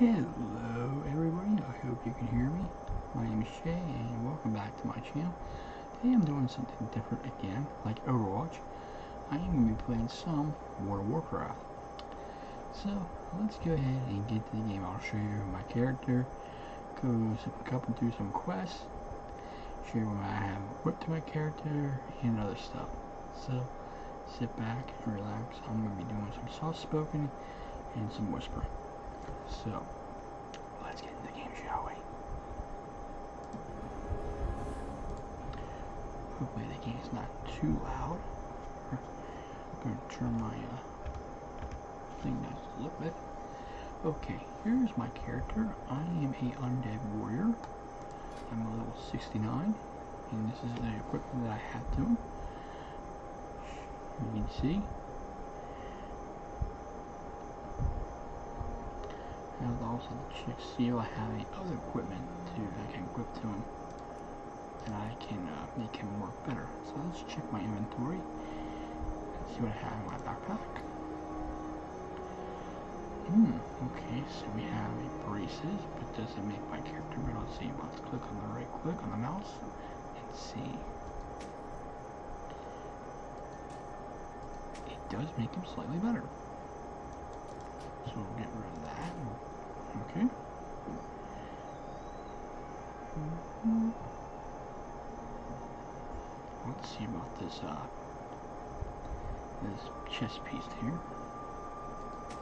Hello everybody, I hope you can hear me. My name is Shay and welcome back to my channel. Today I'm doing something different again, like Overwatch. I am going to be playing some World of Warcraft. So, let's go ahead and get to the game. I'll show you my character, go a couple through some quests, show you what I have equipped to my character, and other stuff. So, sit back and relax. I'm going to be doing some soft spoken and some whispering. So, let's get into the game, shall we? Hopefully the game's not too loud. I'm going to turn my uh, thing down a little bit. Okay, here's my character. I am a undead warrior. I'm a level 69 and this is the equipment that I have to you can see and also check see if I have any other equipment to I can equip to him and I can uh, make him work better so let's check my inventory and see what I have in my backpack hmm Okay, so we have braces, but does it make my character? But let's Let's click on the right click on the mouse and see. It does make him slightly better. So we'll get rid of that. Okay. Mm-hmm. Let's see about this uh, this chest piece here.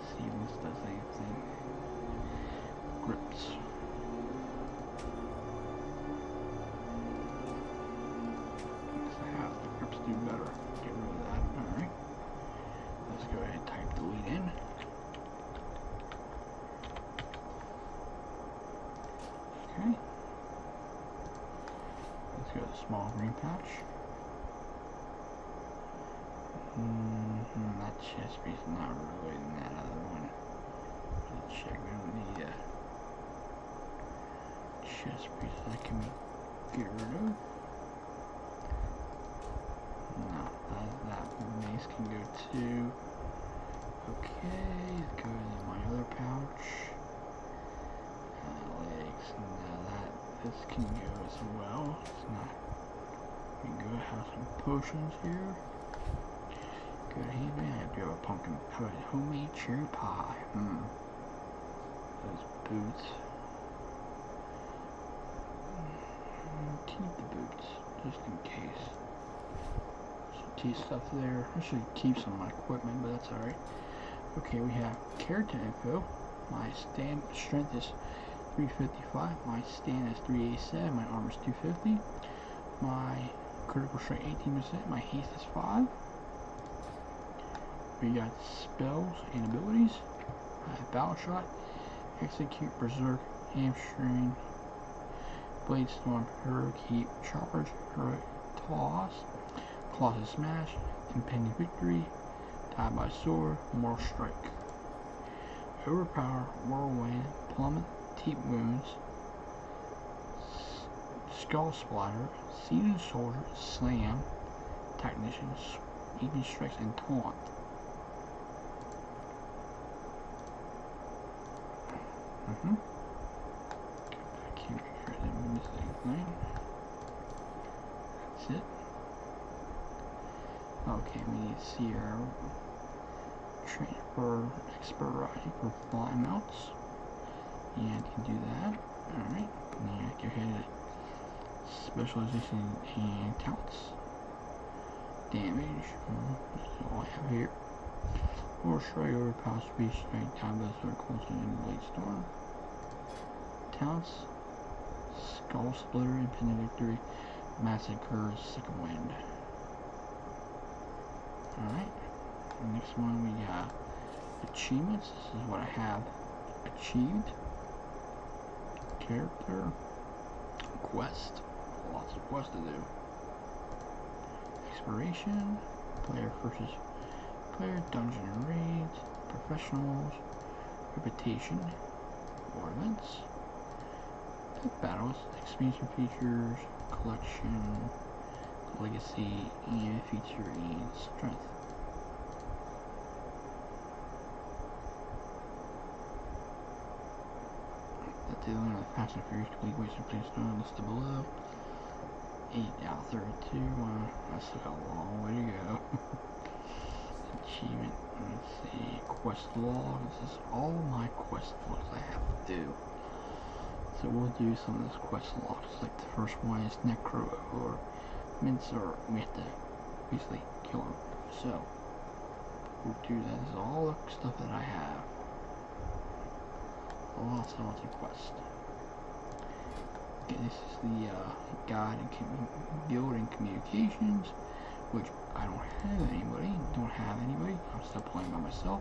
see what's this I think. Grips. How the grips do better. Get rid of that. Alright. Let's go ahead and type delete in. Okay. Let's go to small green patch. Mm -hmm, that chest not really in that other one. Let's check out the uh, chest piece I can get rid of. No, that, that mace can go to. Okay, go to my other pouch. Uh, legs, now that, this can go as well. It's not go have some potions here. Good evening, you have a pumpkin pie, homemade cherry pie. Mmm. Those boots. Keep mm, the boots, just in case. Some tea stuff there. I should keep some of my equipment, but that's alright. Okay, we have character info. My stamp strength is 355. Nice stand is 387, my armor is 250, my critical strike 18%, my haste is 5. We got spells and abilities. I have battle shot, execute, berserk, hamstring, blade storm, heroic heat, charge, heroic toss, claws and smash, impending victory, die by sword, mortal strike. Overpower, Whirlwind, Plummet, Deep Wounds, Skull Splatter, Seasoned Soldier, Slam, Technician, Even Strikes, and torn. -hmm. I can't figure out missing thing. That's it. Okay, we need Sierra transfer sporadic for fly mounts, And can do that. Alright. Now I can hit specialization and counts. Damage. That's all I have here. Or strike over past speed strike, combat circles, and blade storm. Talents. Skull Splitter, Impending Victory, Massacre, Second Wind. Alright. Next one we have achievements. This is what I have achieved. Character. Quest. Lots of quests to do. Exploration. Player versus player. Dungeon raids. Professionals. Reputation. or events battles, expansion features, collection, legacy, and feature strength. That's The dealing with Fast and Furious to be wasted, please know listed below. 8 out of 32, wow, I a long way to go. Achievement, let's see, quest log, all my quest logs I have to do. So we'll do some of those quest logs, like the first one is Necro or Mincer, we have to basically kill him. So, we'll do that, this is all the stuff that I have. Lots and lots of quests. Okay, this is the uh, guide and building communications, which I don't have anybody. Don't have anybody. I'm still playing by myself.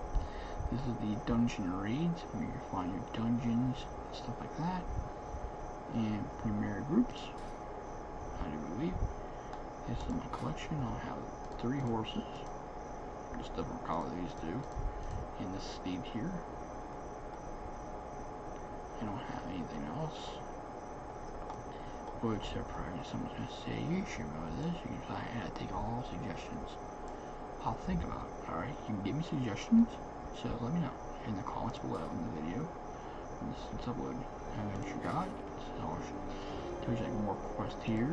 This is the dungeon raids where you find your dungeons and stuff like that. And primary groups. I do believe. This is my collection. I have three horses. Just stuff from these two, And this steed here. I don't have anything else. Words their progress. Someone's going to say, you should really this. You can say, I take all suggestions. I'll think about it, alright? You can give me suggestions, so let me know in the comments below in the video when this is uploaded. And then you got, there's like more quest here.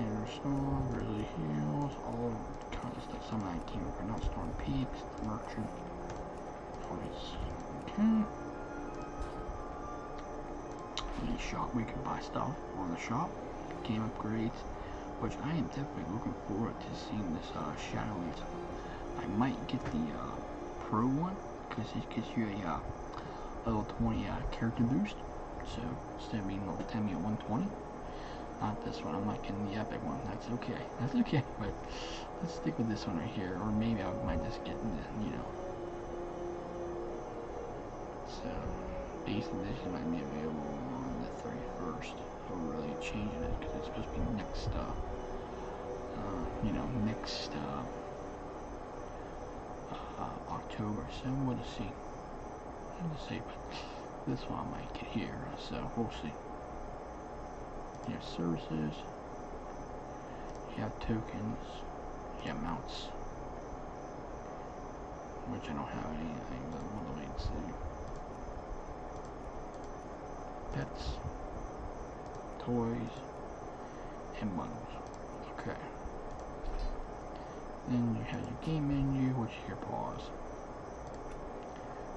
And there's Storm, really Hills, all kinds of stuff. Some of 19 for not Storm Peaks, the Merchant, Okay. In the shop we can buy stuff on the shop, game upgrades, which I am definitely looking forward to seeing this uh, I might get the uh, Pro one because it gives you a little uh, 20 uh, character boost. So instead of being level 10, you're 120. Not this one. I'm not getting the epic one. That's okay. That's okay. But Let's stick with this one right here, or maybe I might just get, you know. So, base edition might be available on the 31st. So we're really changing it, because it's supposed to be next stop. Uh, you know, next stop. Uh, October, so we see. We'll see, but this one I might get here, so we'll see. Here's services. You have tokens. You have mounts. Which I don't have anything, but we'll wait and see. Pets. Toys. And bundles. Okay. Then you have your game menu, which is your pause.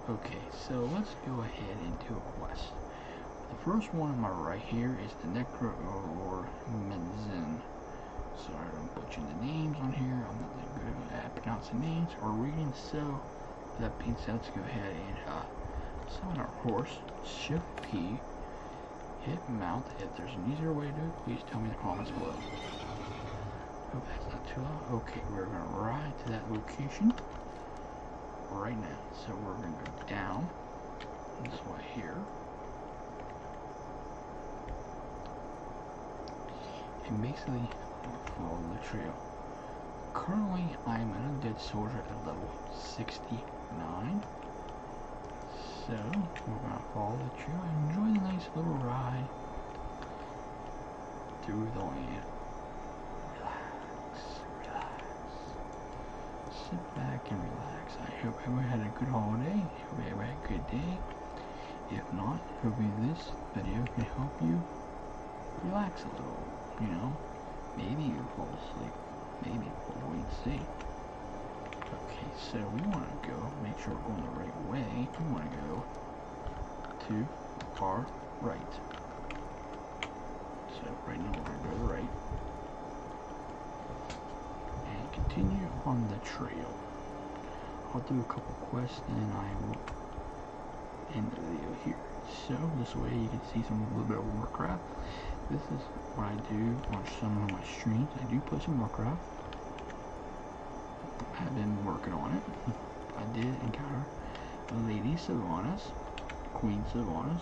Okay, so let's go ahead and do a quest. The first one on my right here is is the Necro or Menzin. Sorry I'm butchering the names on here. I'm not that good at pronouncing names or reading, so that being said, let's go ahead and uh, summon our horse. Should P. Hit mount. If there's an easier way to please tell me in the comments below. Oh, okay, we're going to ride to that location right now. So we're going to go down. This one here. And basically follow the trail. Currently I am an undead soldier at level 69. So we're gonna follow the trail and enjoy the nice little ride through the land relax. Sit back and relax. I hope everyone had a good holiday. Hope everyone had a good day. If not, hopefully this video can help you relax a little, you know? Maybe you fall asleep. Maybe, we'll wait and see. Okay, so we want to go, make sure we're going the right way. We want to go to our right. So right now we're going to go right. And continue on the trail. I'll do a couple quests and I will end the video here. So this way you can see some a little bit of Warcraft. This is what I do on some of my streams. I do play some Warcraft. I've been working on it. I did encounter Lady Sylvanas, Queen Sylvanas,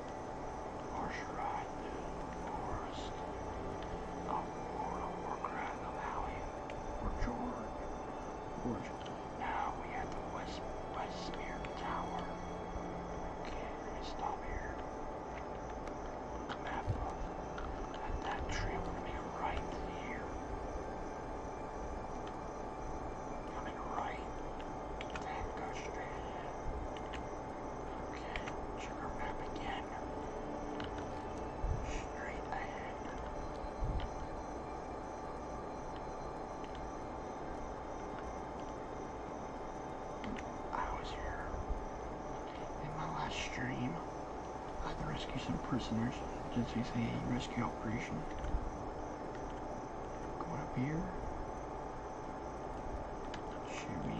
Or should I do Forest? Of World of Warcraft of Alien or George? George. Now we have the West Westmere Tower. Okay, we're stop here. map of that, that trail we right here. Coming right. Then go Okay, trigger map again. Straight ahead. I was here in my last stream. I had to rescue some prisoners. This is a rescue operation. Go up here. Should we?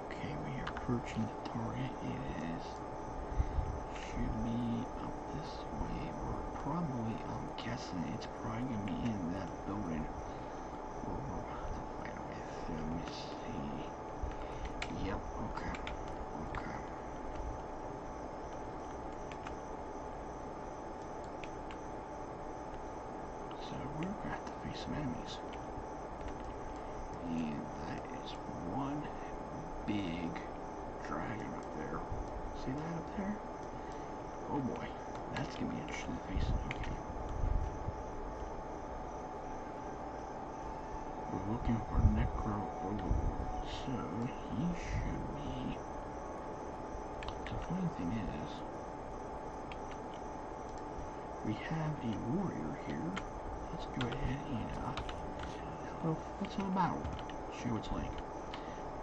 Okay, we are approaching the target. It is. Should be up this way, or probably. I'm guessing it's probably gonna be in that building. Or we're about to fight Let me see. Yep. Okay. Okay. So we're going to face some enemies. And that is one big dragon up there. See that up there? Oh boy, that's going to be interesting to face. Okay. We're looking for Necro Overlord, so he should be the funny thing is, we have a warrior here. Let's go ahead and uh, have a little, battle. See what's like.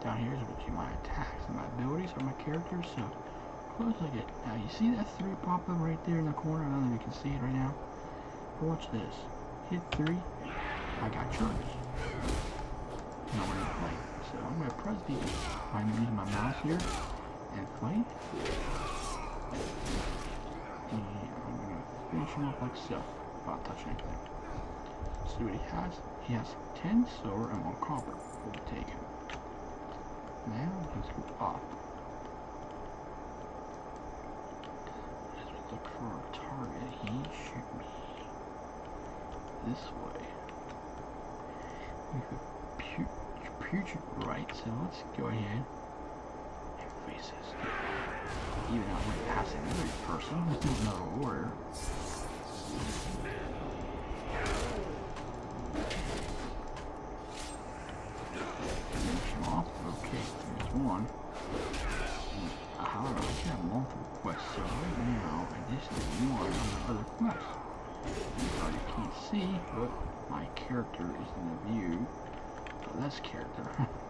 Down here is what you my attacks and my abilities are, my characters. So close like it. Now you see that three pop up right there in the corner. I don't know you can see it right now. But watch this. Hit three. I got charged. No, we're not playing. So I'm going to press the... I'm going to use my mouse here and play. And I'm going to finish him off like so. Without touching anything. See what he has. He has 10 silver and 1 copper. We'll take him. Now, let's go up. Let's look for a target. He should be... This way. We could putrid right, so let's go ahead and face this. Even out with passing another person, let's do another warrior. Okay, there's one. Uh, I can have multiple quests, so right now, I just did one on the other look You can't see, but my character is in the view. The less character,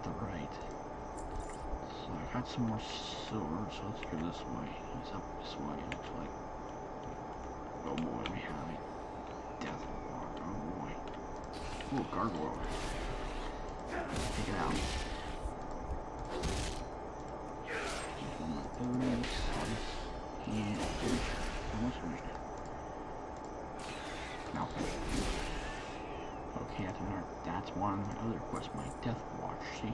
the right. So I got some more swords. so let's go this way. It's up this way, looks like. Oh boy, we have Oh boy. oh gargoyle. Take it out. Okay, that's one of my other quests, my Death Watch. See,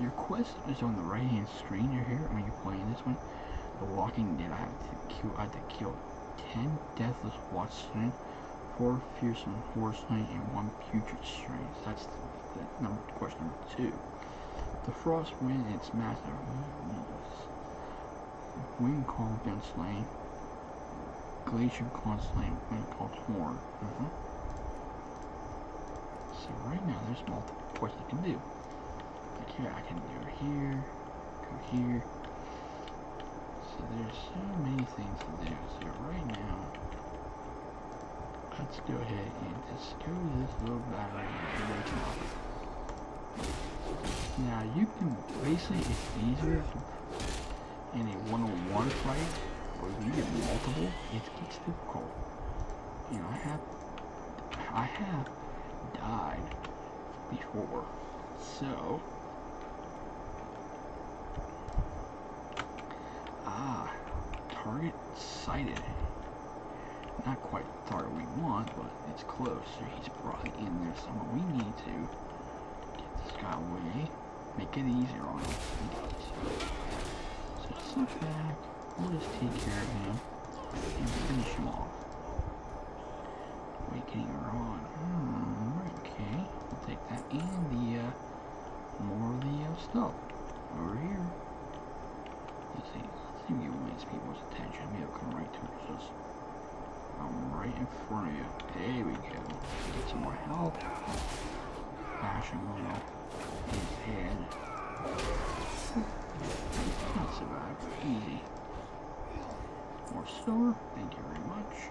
your quest is on the right-hand screen you're here when you're playing this one. The Walking Dead, I have to kill, I have to kill 10 Deathless Watch 4 Fearsome Horse Strain, and 1 Putrid Strain. That's the number, question number two. The frost wind and its massive wind called Gunslane, Glacier Gunslane, wind called Horn. Uh mm-hmm. -huh. So right now there's multiple points I can do. Like here I can do here, go here. So there's so many things to do. So right now let's go ahead and just discover this little battery Now you can basically it's easier in a 101 fight, but if you get multiple, it gets difficult. You know, I have I have died before, so ah, target sighted. Not quite the target we want, but it's close, so he's probably in there somewhere. We need to get this guy away, make it easier on us. So just back, we'll just take care of him, and finish him off. Awakening are on. Hmm, okay. take that and the, uh, more of the stuff over here. I think I think it wants people's attention. I mean, I'll come right to it. Just, I'm um, right in front of you. There we go. Get some more help. Fashion going up his head. Not survive. Easy. More silver. Thank you very much.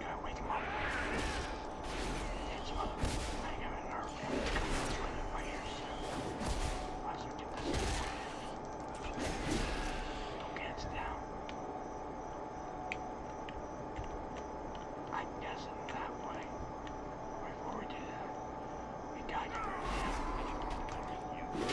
Gotta wake him up. It's him uh, up. I ain't got a nerve to come to my ears. Watch him get this. Don't get it down. I guess it that way. Before we do that, we gotta get rid of him. You.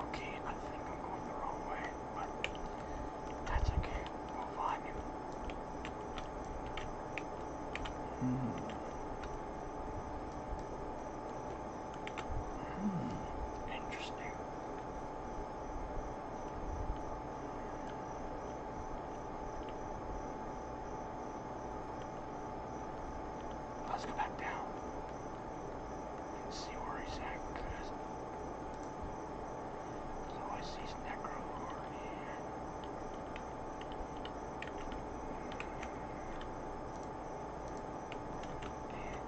Okay, I think I'm going the wrong way, but that's okay. We'll Hmm. Hmm. Interesting. Let's go back down and see where he's at. Cause so I see his necro guard here. And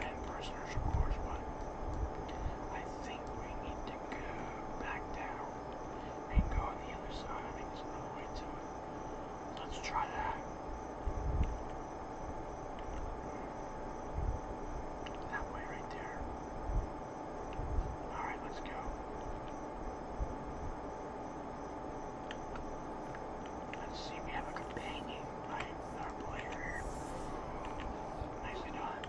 and prisoners, of course, but I think we need to go back down. Let's try that. That way right there. Alright, let's go. Let's see, we have a companion, Our player here. Nicely done.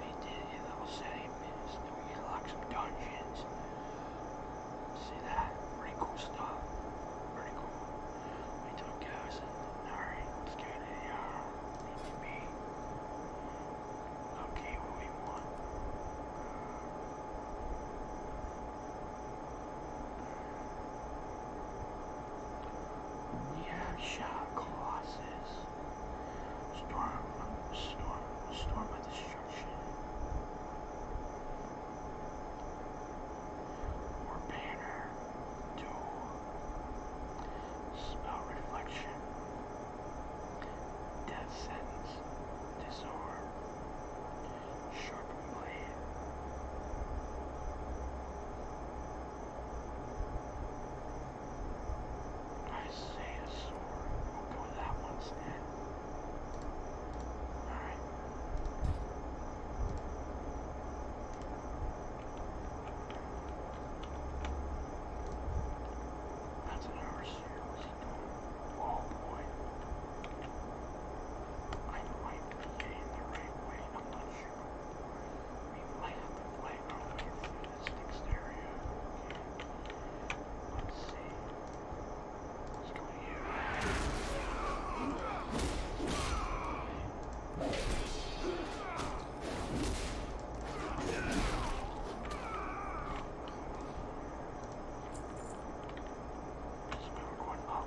We did a little setting is that we unlock some dungeons. See that? Pretty cool stuff. Pretty cool. We took guys and alright, let's get to the uh need to be okay what we want. We have shot classes. Storm, storm, storm by destruction. Or banner. Duel. Spell reflection. Death sentence. Disarm. Sharpen blade. I say a sword. We'll go with that one instead. Alright. That's an overseer. Oh boy. I might be the right way. i might statistics area. Okay. Let's see. Let's go here. There's a power going up.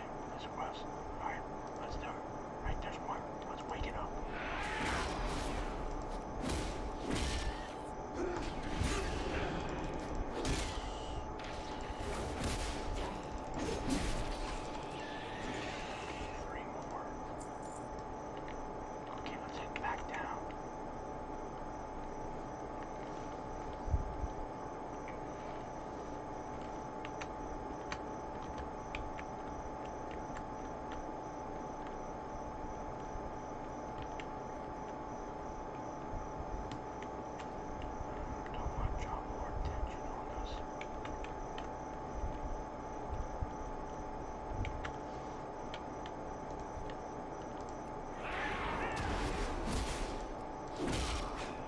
That's it. That's a cross. Alright, let's do it. Right, there's one. Let's wake it up. Three more. Okay, let's head back down. Don't want to draw more attention on us.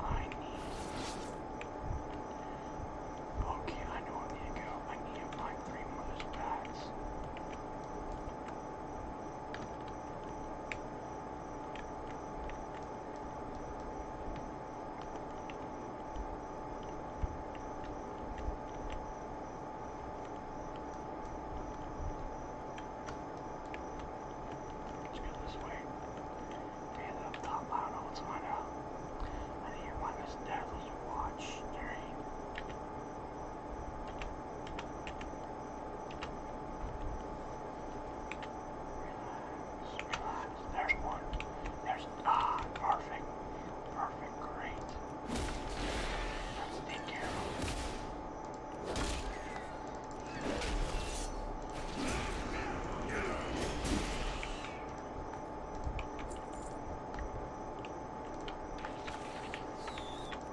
I need. Okay, I know I need to go. I need to find three more of those bags. Let's go this way. Hey, up top, I don't know what's going on. I think your one is Devil's Watch. There relax. There's one. There's ah, perfect, perfect, great. Let's take care of it.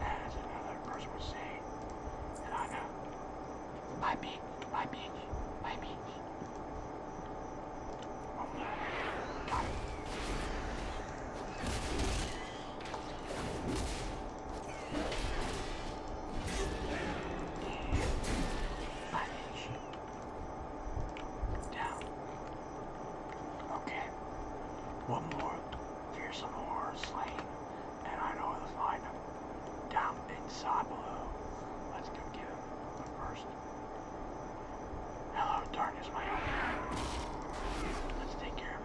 As another person would say, and I know, my bitch, my bitch, my bitch. Only got it. Yeah, my bitch. Down. Okay. One more fearsome horror slain, and I know where to find Down inside below. Let's go get him but first. Hello, darkness, my own. Let's take care of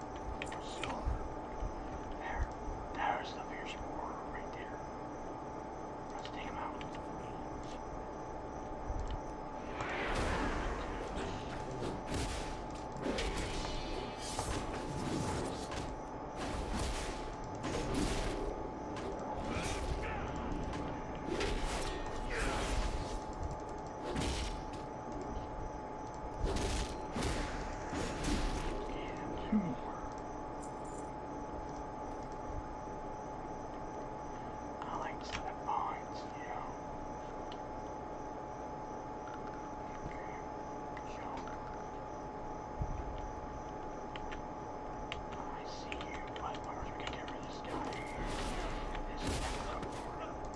So, there, there's the fierce warrior right there. Let's take him out. I like to set up bonds, you know. Okay, so I see you, but first we can get rid of this guy. This is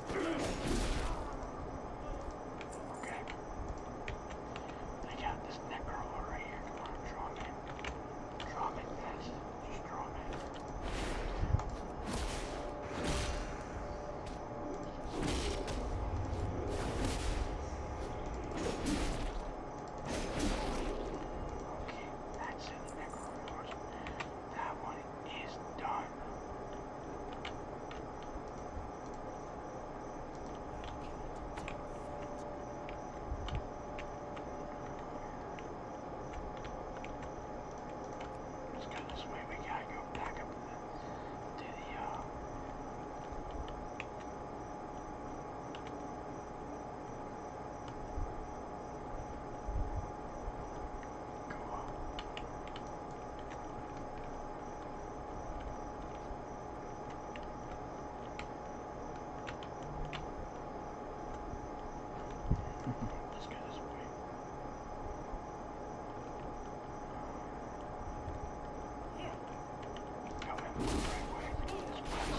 Okay. I got this necrolord right here. Come on, draw him in. Draw him in fast. Just draw him in. Okay, that's it, the necrolord. That one is done. Let's go this way. We gotta go back up to the uh go up. Let's go this way. Yeah. Coming the right way. This way.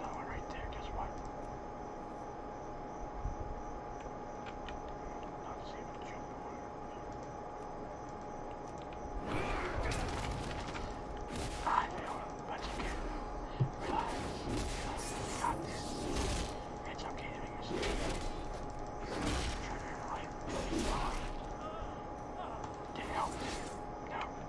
No, right there, guess what? Not the same jump water. I know, but you can relax. You got this. It's okay to make mistakes. Try to life. They helped. No.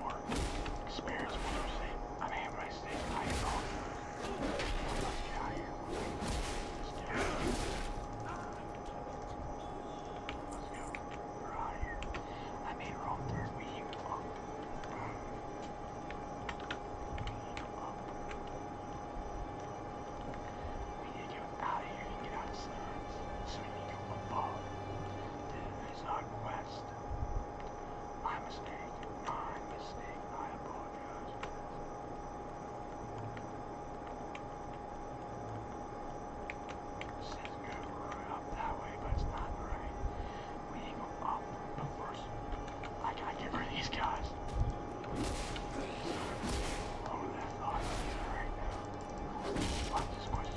more spares for those I mean, everybody stays high and Let's get out of here. Let's get out of here. Let's go. We're out of here. I We heat them up. We heat them We need to get out of here and get out of silence. we need to go above. There's not past. My mistake. My mistake. I apologize. It says go up that way, but it's not right. We go up, but first, I gotta get rid of these guys. Who would thought right now? Watch this question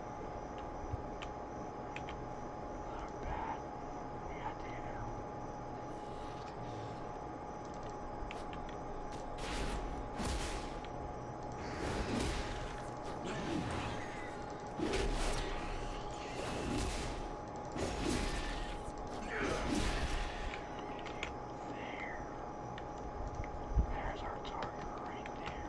Not bad. Yeah, damn. There. There's our target right there.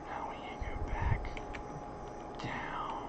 now we go back down.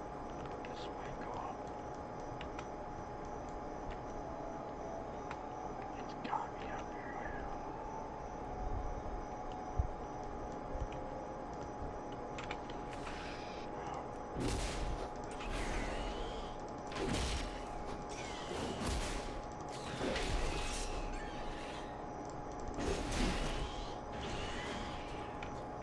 This way, go up. It's got me up here. Oh.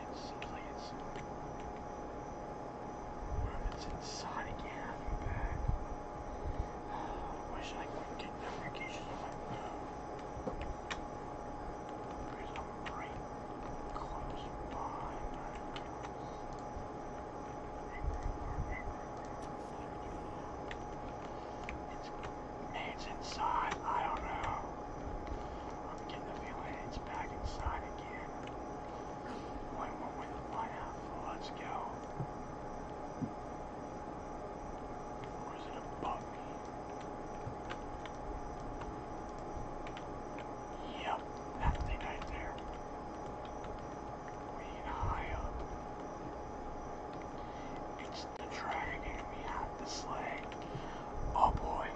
It's, please. What if it's inside again? I'm back. I wish I could get notifications on my phone. There's a bright close by. It's, it's inside. I don't know. I'm get the village back inside again. One moment, find out. Let's go. Or is it a bug? Yep, that thing right there. We can high up. It's the dragon we have the slay. Oh boy.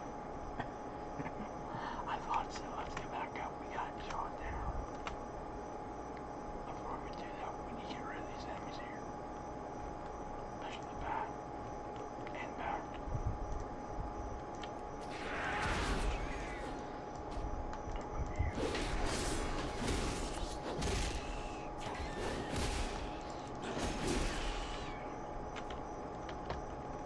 I thought so. Let's get back up. We got shot down. Before we do that, we need to get rid of these enemies here. Especially the back. And back. Over here.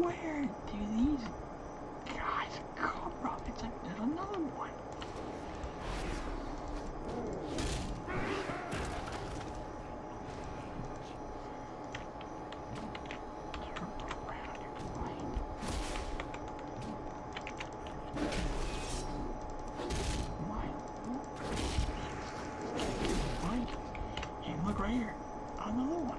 Where do these God, God, Rob, it's like there's another one. Hey, look right here. Another one.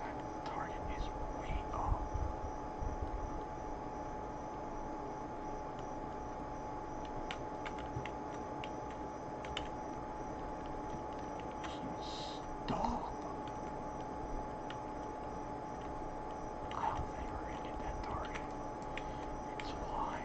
That target is way up. Stop! I don't think we're going that target. It's flying.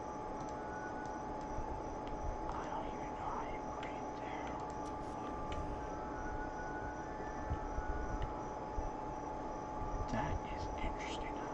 I don't even know how you breathe there. That is interesting. I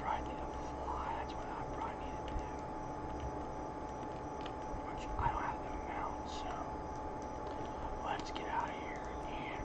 Probably need to fly, that's what I probably need to do. Which I don't have the amount, so let's get out of here and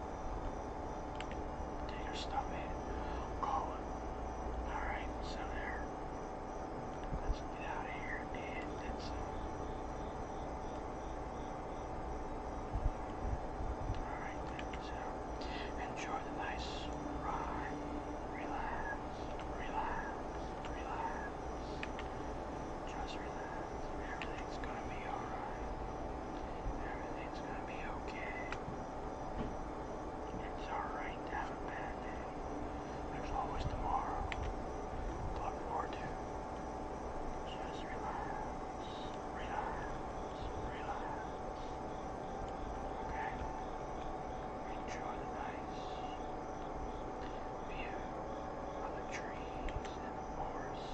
Take your stuff in. Call it. Alright, so there. Let's get out of here and that's it. Alright, so enjoy the nice ride. Relax, relax, relax. Just relax. Everything's gonna be alright. Everything's gonna be okay. It's alright to have a bad day. There's always tomorrow. But for two, just relax, relax, relax. Okay? Enjoy the nice view of the trees and the forest.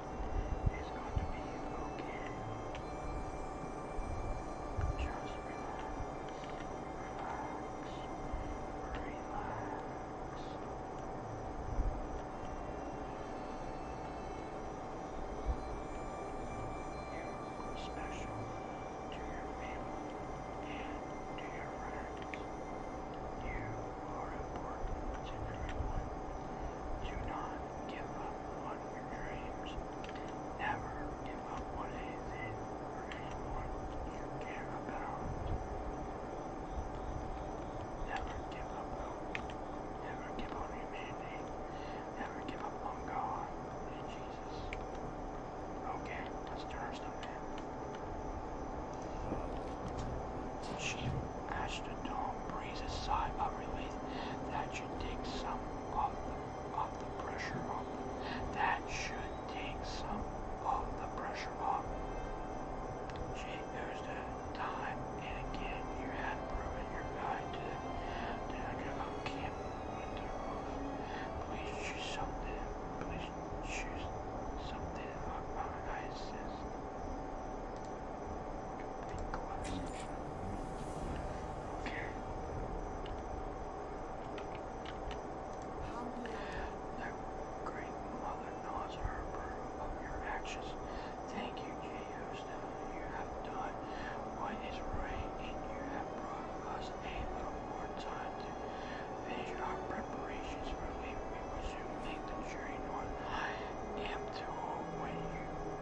It's going to be okay. Just relax, relax, relax. You're special to your family and your friends. You are important, said everyone. Do not give up on your dreams. Never give up on anything or anyone you care about. Never give up hope. Never give up on humanity. Never give up on God and Jesus. Okay, let's turn our stuff in the astronaut breezes sigh of relief that should take some of the, pressure off. That should take some of the pressure off. Gee, there's the time and again you had proven your guide to the danger of camp with the roof. Please choose something. Please choose something of our niceness. The great mother nods her approval your actions. Thank you, Jehoshaphat. You have done what is right, and you have brought us a little more time to finish our preparations for leaving. We will soon make the journey north am to when you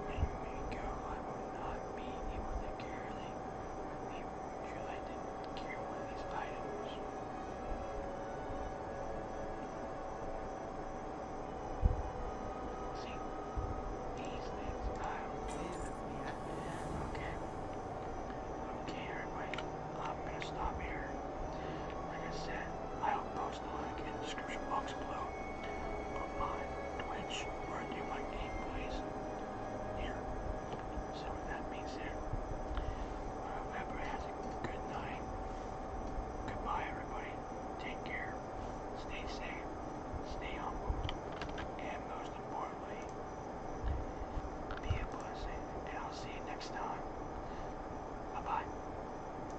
make me go. I will not be able to carry them with you like to carry one of these items? See, these things I will Okay. Okay, everybody. I'm gonna stop here. Like I said, I will post in the description box below. On Twitch, where do my gameplays. Here. So that means there. Uh, has a good night. Goodbye, everybody. Take care. Stay safe. Stay humble. And most importantly, be a blessing. And I'll see you next time. Bye bye.